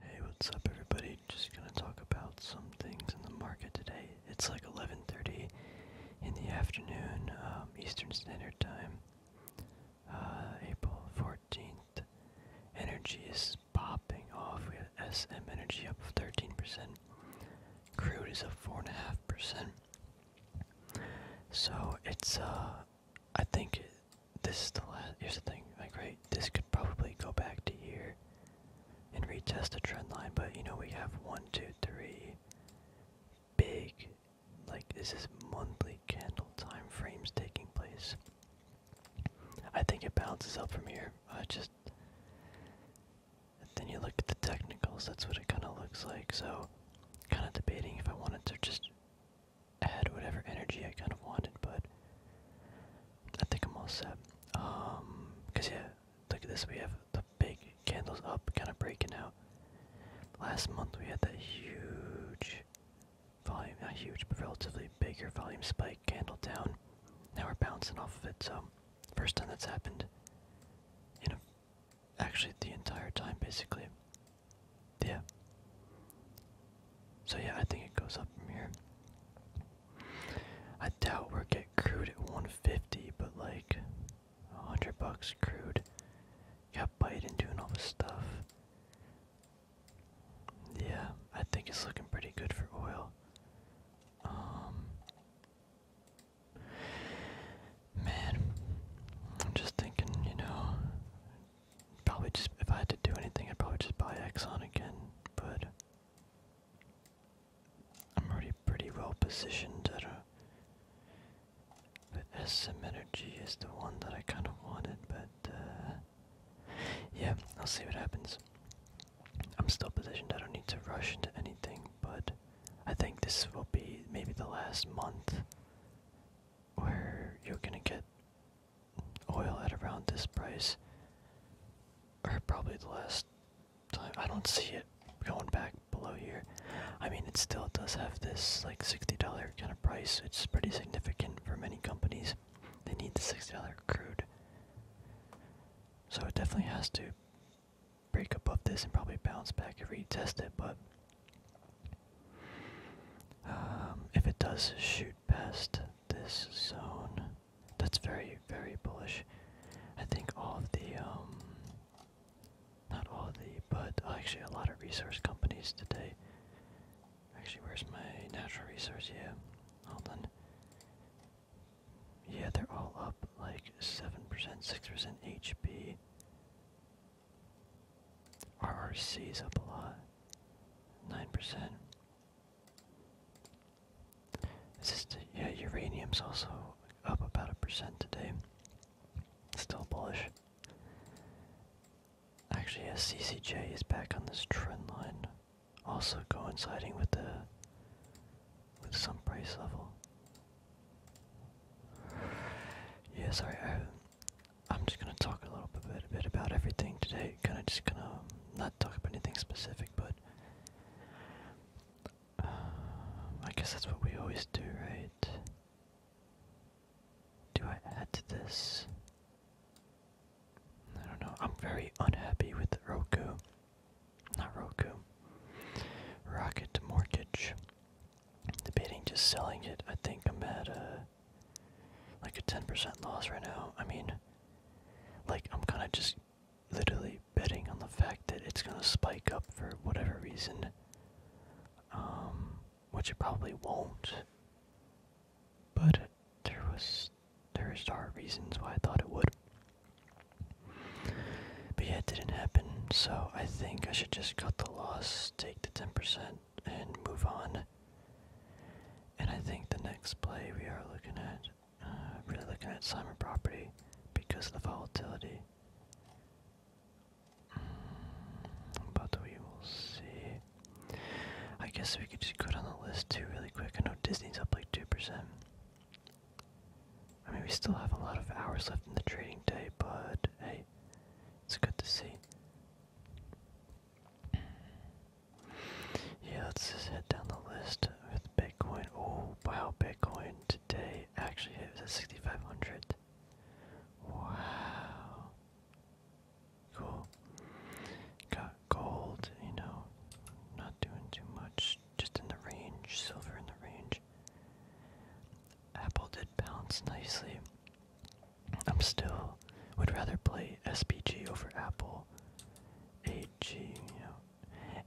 Hey, what's up everybody? Just gonna talk about some things in the market today. It's like 11:30 in the afternoon, um, Eastern Standard Time, uh, April 14th. Energy is popping off. We have SM Energy up 13%. Crude is up four and a half percent. So it's uh, I think this is the last. Here's the thing, like right, this could probably go back to here and retest the trend line, but you know we have one, two, three big, like this is monthly candle time frames taking place. I think it bounces up from here. I just then you look at the technicals. That's what it kind of looks like. So, kind of debating if I wanted to just add whatever energy I kind of wanted, but I think I'm all set. Um, cause yeah, look at this. We have the big candles up, kind of breaking out. Last month we had that huge volume, not huge, but relatively bigger volume spike candle down. Now we're bouncing off of it. So first time that's happened. You know, actually the entire time basically. Yeah. So yeah, I think it goes up from here. I doubt we're get crude at 150, but like 100 bucks crude. Got Biden doing all this stuff. Yeah, I think it's looking pretty good for oil. Um, man, I'm just thinking, you know, Probably just, if I had to do anything, I'd probably just buy Exxon again, but I'm already pretty well positioned at a. But SM Energy is the one that I kind of wanted, but uh, yeah, I'll see what happens. I'm still positioned, I don't need to rush into anything, but I think this will be maybe the last month where you're gonna get oil at around this price, or probably the last time. I don't see it going back below here. I mean, it still does have this like $60 kind of price. It's pretty significant for many companies. They need the $60 crude. So it definitely has to break above this and probably bounce back and retest it. But um, if it does shoot past this zone. That's very, very bullish. I think all of the, um, not all of the, but actually a lot of resource companies today. Actually, where's my natural resource? Yeah, hold on. Yeah, they're all up like 7%, 6% HP. RRC's up a lot. 9%. Is yeah, uranium's also up about a percent today. Still bullish. Actually, yeah, CCJ is back on this trend line, also coinciding with the with some price level. Yeah, sorry, I I'm just gonna talk a little bit, about everything today. Kind of just gonna um, not talk about anything specific, but uh, I guess that's what we always do, right? Do I add to this? I don't know. I'm very unhappy with Roku. Not Roku. Rocket Mortgage. Debating just selling it. I think I'm at a like a 10% loss right now. I mean, like, I'm kind of just literally betting on the fact that it's going to spike up for whatever reason, um, which it probably won't. But there was, there are reasons why I thought it would. But yeah, it didn't happen, so I think I should just cut the loss, take the 10%, and move on. And I think the next play we are looking at, uh, really looking at Simon property because of the volatility. Mm, but we will see. I guess we could just go on the list too really quick. I know Disney's up like 2%. I mean, we still have a lot of hours left in the trading day, but hey, it's good to see. Yeah, let's just head down the list with Bitcoin. Oh, wow, Bitcoin today actually hit was at 6,500. Wow. Cool. Got gold, you know, not doing too much, just in the range, silver in the range. Apple did bounce nicely. I'm still would rather play SPG over Apple, AG,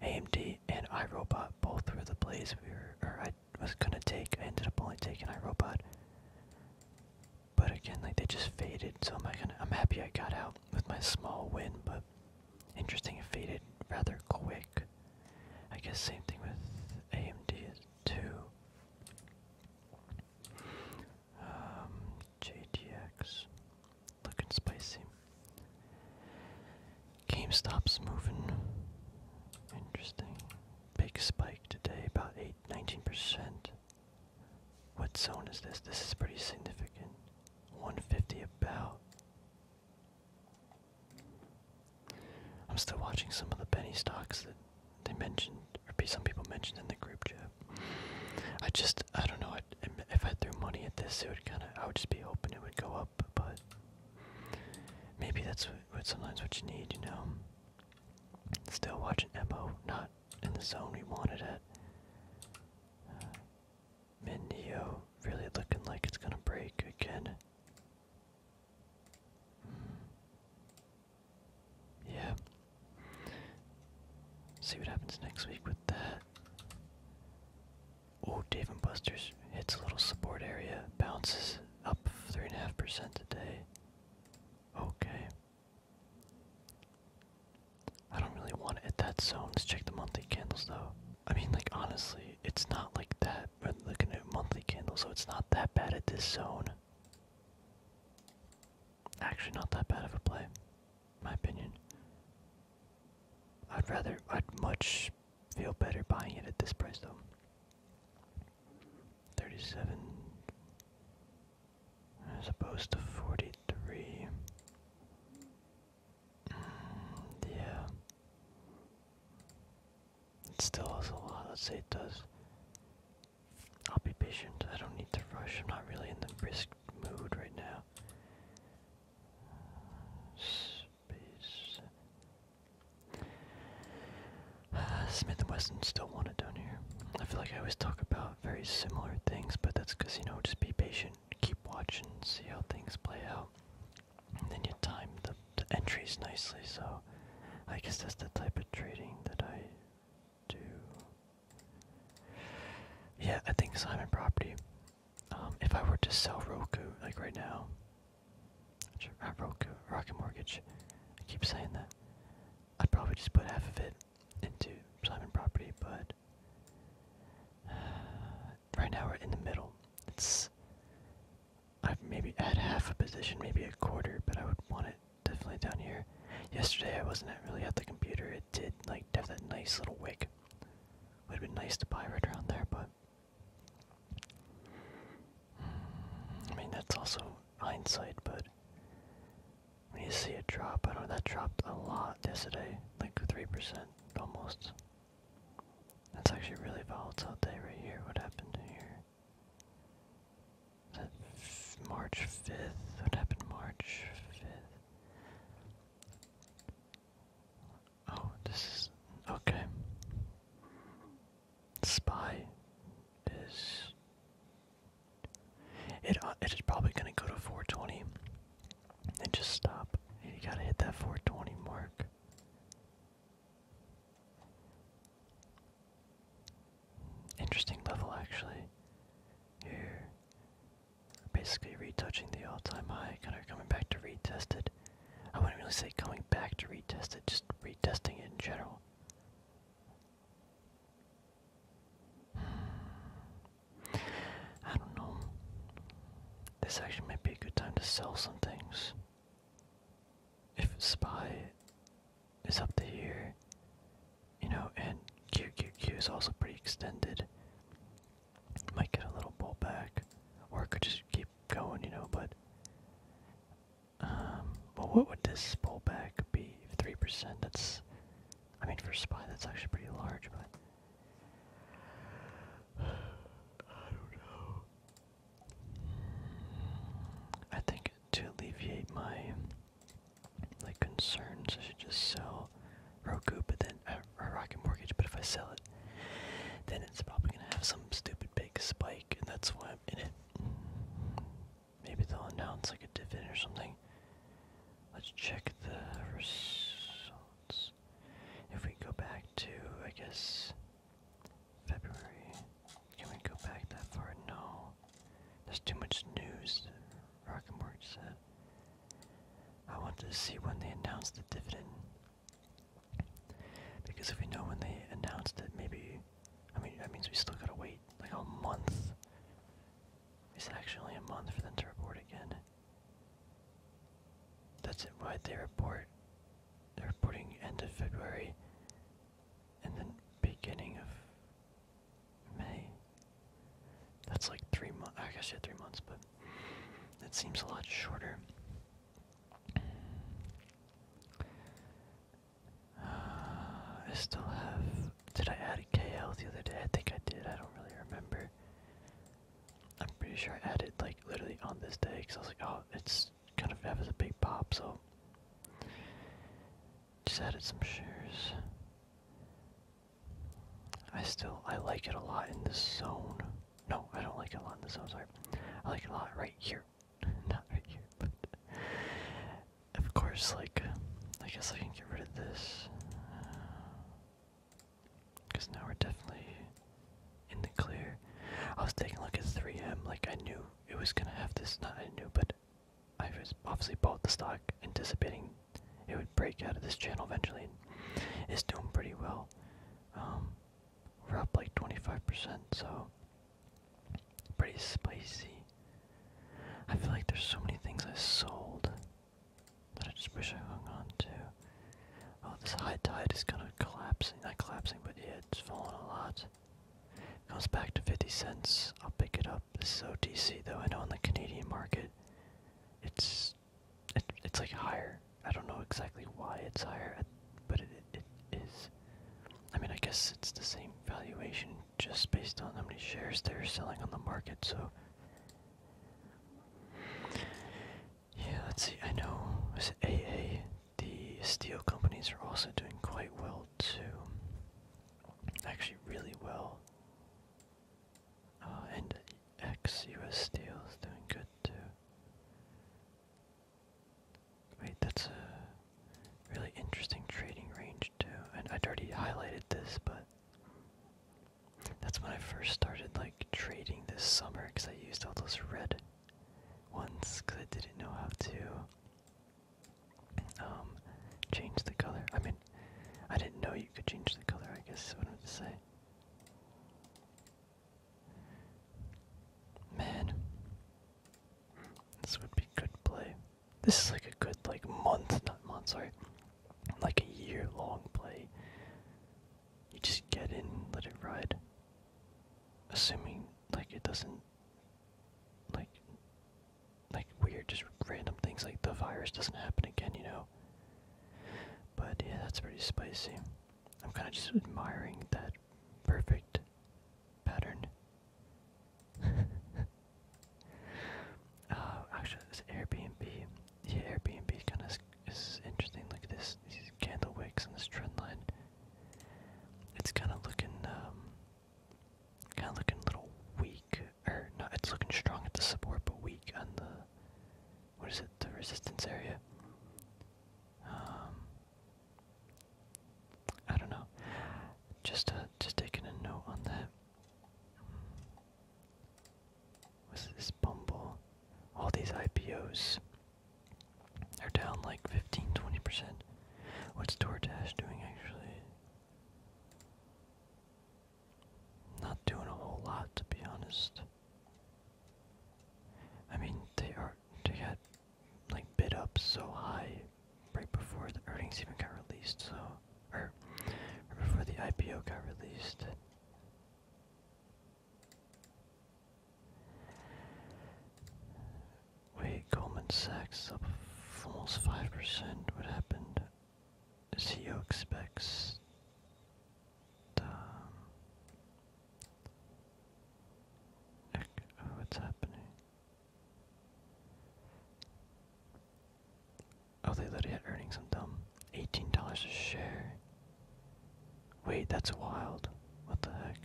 AMD and iRobot both were the plays we were, I was gonna take. I ended up only taking iRobot, but again, like they just faded. So am I gonna? I'm happy I got out with my small win, but interesting faded rather quick. I guess same thing with AMD too. Um, JTX. Looking spicy. GameStop's moving. Interesting. Big spike today, about 8, 19%. What zone is this? This is pretty significant. 150 about. I'm still watching some of the penny stocks that they mentioned, or some people mentioned in the group chat. I just, I don't know. if I threw money at this, it would kind of, I would just be hoping it would go up. But maybe that's what, sometimes what you need, you know. Still watching Mo, not in the zone we wanted it. Uh, Minio really looking like it's gonna break again. Hmm. Yeah. See what happens next week with that. Oh, Dave and Buster's hits a little support area, bounces up 3.5% today. Okay. I don't really want it at that zone. Let's check the monthly candles though. I mean, like, honestly, it's not like that. But are looking at monthly candles, so it's not that bad at this zone. Actually, not that bad of a play, in my opinion. I'd rather, I'd much feel better buying it at this price though. 37 as opposed to 43. Mm, yeah. It still has a lot. Let's say it does I'll be patient. I don't need to rush. I'm not really in the risk mood right now. Smith and Wesson still want it down here. I feel like I always talk about very similar things, but that's because you know, just be patient, keep watching, see how things play out, and then you time the entries nicely. So, I guess that's the type of trading that I yeah, I think Simon Property. Um, if I were to sell Roku, like right now, I broke a Rocket Mortgage, I keep saying that. I'd probably just put half of it into Simon Property, but uh, right now we're in the middle. It's I've maybe add half a position, maybe a quarter, but I would want it definitely down here. Yesterday I wasn't really at the computer. It did like have that nice little wick. Would have been nice to buy right around there, but I mean that's also hindsight. But when you see it drop, I don't know that dropped a lot yesterday, like three percent almost. That's actually really volatile day right here. What happened here? March 5th? What happened March 5th? Oh, this okay. Spy is... It, uh, it is probably going to go to 420 and just stop. You gotta hit that 420 mark. Interesting level, actually. Here. Basically retouching the all-time high, kind of coming back to retest it. I wouldn't really say coming back to retest it, just retesting it in general. I don't know. This actually might be a good time to sell some things. If Spy is up to here. You know, and QQQ is also pretty extended. Might get a little pullback, or it could just keep going, you know, but. Um, well, what would this pullback be? 3%? That's. I mean, for SPY, that's actually pretty large, but. I don't know. I think to alleviate my like concerns. I should just sell Roku, but then uh, or Rocket Mortgage. But if I sell it, then it's probably gonna have some stupid big spike, and that's why I'm in it. Maybe they'll announce like a dividend or something. Let's check the results. If we go back to, I guess, February. Can we go back that far? No. There's too much news, Rockenborg said. I want to see when they announce the dividend. Because if we know when they announced it, maybe I mean that means we still gotta wait like a month. Is It's actually a month for them to report again. That's it, right? They report. They're reporting end of February and then beginning of May. That's like three months. I guess you had three months, but it seems a lot shorter. Uh, I still have. Did I add a KL the other day? I think I did. I don't really remember. I'm pretty sure I added like literally on this day because I was like, oh, it's kind of have as a big pop, so just added some shares. I still I like it a lot in this zone. No, I don't like it a lot in this zone. Sorry, I like it a lot right here, not right here. But of course, like I guess I can get rid of this because uh, now we're definitely in the clear. I was taking a look at 3M. Like I knew it was gonna have this. Not I knew, but I was obviously bought the stock anticipating it would break out of this channel eventually. It's doing pretty well. Um, we're up like 25%, so pretty spicy. I feel like there's so many things I sold that I just wish I hung on to. Oh, this high tide is kind of collapsing. Not collapsing, but yeah, it's falling a lot. Comes back to 50 cents. I'll pick it up up. So DC though, I know in the Canadian market, it's it, it's like higher. I don't know exactly why it's higher, but it, it is. I mean, I guess it's the same valuation just based on how many shares they're selling on the market. So yeah, let's see. I know is it AA. The steel companies are also doing quite well well Actually, really well. Uh, and ex Steel is doing good too. Wait, that's a really interesting trading range too. And I'd already highlighted this, but that's when I first started like trading this summer because I used all those red ones because I didn't know how to um, change the color. I mean, I didn't know you could change the color, I guess is what I'm going to say. Man, this would be good play. This is like a good, like, month, not month, sorry, like a year long play. You just get in, let it ride. Assuming, like, it doesn't like like weird just random things like the virus doesn't happen again, you know. But yeah, that's pretty spicy. I'm kind of just admiring that perfect pattern. Oh, actually, this Airbnb, yeah, Airbnb kind of is interesting. Like this, these candle wicks and this trend line. It's kind of looking, um, kind of looking a little weak or no, it's looking strong at the support, but weak on the what is it? The resistance area. Um, I don't know. Just uh, just taking a note on that. What's this Bumble? All these IPOs are down like 15-20%. What's DoorDash doing actually? Not doing a whole lot, to be honest. I mean, they are they had like bid up so high right before the earnings even got released, so or before the IPO got released. Wait, Goldman Sachs up almost 5%. What happened? CEO expects. Um, oh, what's happening? Oh, they literally had earnings. I'm dumb. $18 a share. Wait, that's wild. What the heck?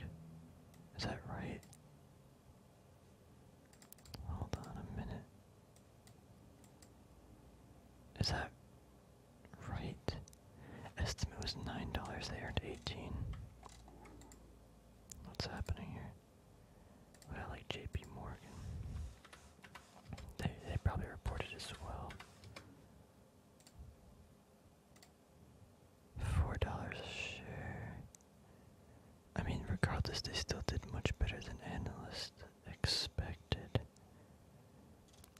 Is that right? Hold on a minute. Is that right? Estimate was nine dollars, they earned eighteen. What's happening here? I like JP Morgan. They they probably reported as well. Four dollars a share. I mean, regardless, they still did much better than analysts expected.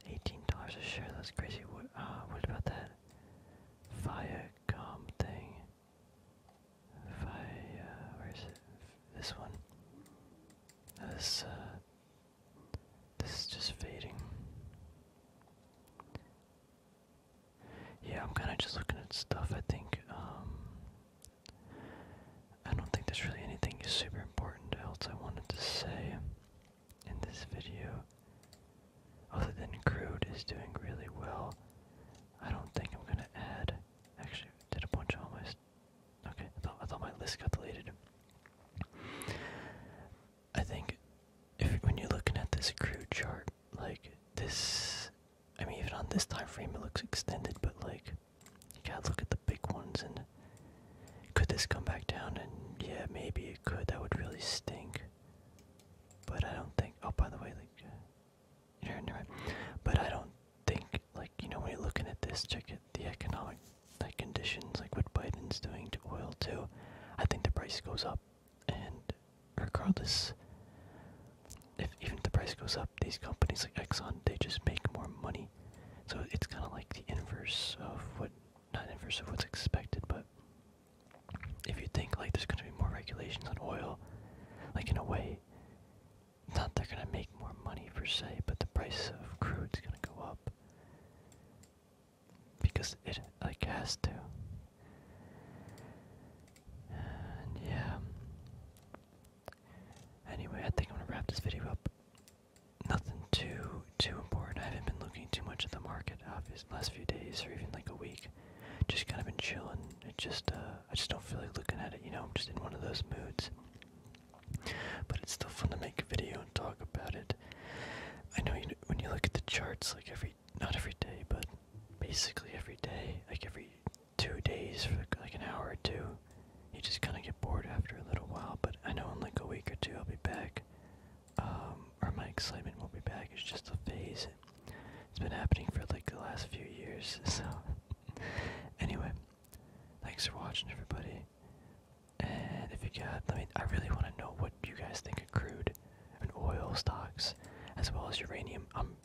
Eighteen dollars a share. That's crazy. What? Uh, what about that Viacom thing? Via, where is it? This one. This. Uh, this is just fading. Yeah, I'm kind of just looking at stuff. I think. Um, I don't think there's really anything super important else I wanted to say in this video. Other than crude is doing really well. I don't think I'm gonna add. Actually, did a bunch of all Okay, I thought, I thought my list got deleted. I think if when you're looking at this crude chart, like this I mean, even on this time frame, it looks extended, but like, you gotta look at the big ones. And could this come back down? And yeah, maybe it could. That would really stink. But I don't think. Oh, by the way, like, you know, never But I don't think, like, you know, when you're looking at this, check it the economic like conditions, like what Biden's doing to oil too. I think the price goes up, and regardless, if even the price goes up these companies like Exxon, they just make more money. So it's kind of like the inverse of what, not inverse of what's expected, but if you think like there's going to be more regulations on oil, like in a way, not they're going to make more money per se, but the price of crude's going to go up because it like has to. And yeah, Anyway, I think I'm gonna wrap this video up. Nothing too too important. I haven't been looking too much at the market, obviously, last few days or even like a week. Just kind of been chilling. It just uh, I just don't feel like looking at it. You know, I'm just in one of those moods. But it's still fun to make a video and talk about it. I know you, when you look at the charts, like every not every day, but basically every day, like every two days for like an hour or two. You just kind of get bored after a little while, but I know in like a week or two I'll be back. Um, or my excitement will not be back. It's just a phase. It's been happening for like the last few years. So, anyway, thanks for watching, everybody. And if you got, let me. I really want to know what you guys think of crude and oil stocks, as well as uranium. Um.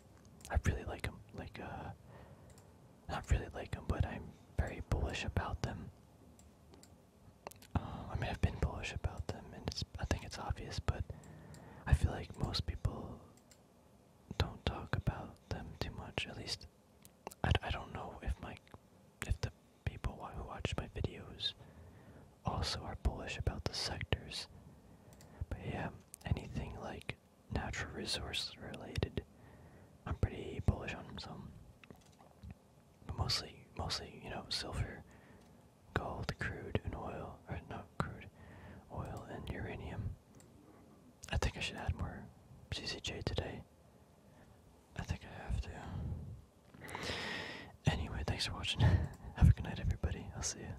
I really like them. Like, uh, not really like them, but I'm very bullish about them. Uh, I mean, I've been bullish about them, and it's, I think it's obvious, but I feel like most people don't talk about them too much. At least, I, I don't know if my if the people who watch my videos also are bullish about the sectors. But yeah, anything like natural resource related. I'm pretty bullish on them, so mostly, mostly, you know, silver, gold, crude, and oil, or not crude, oil and uranium. I think I should add more CCJ today. I think I have to. Anyway, thanks for watching. have a good night, everybody. I'll see you.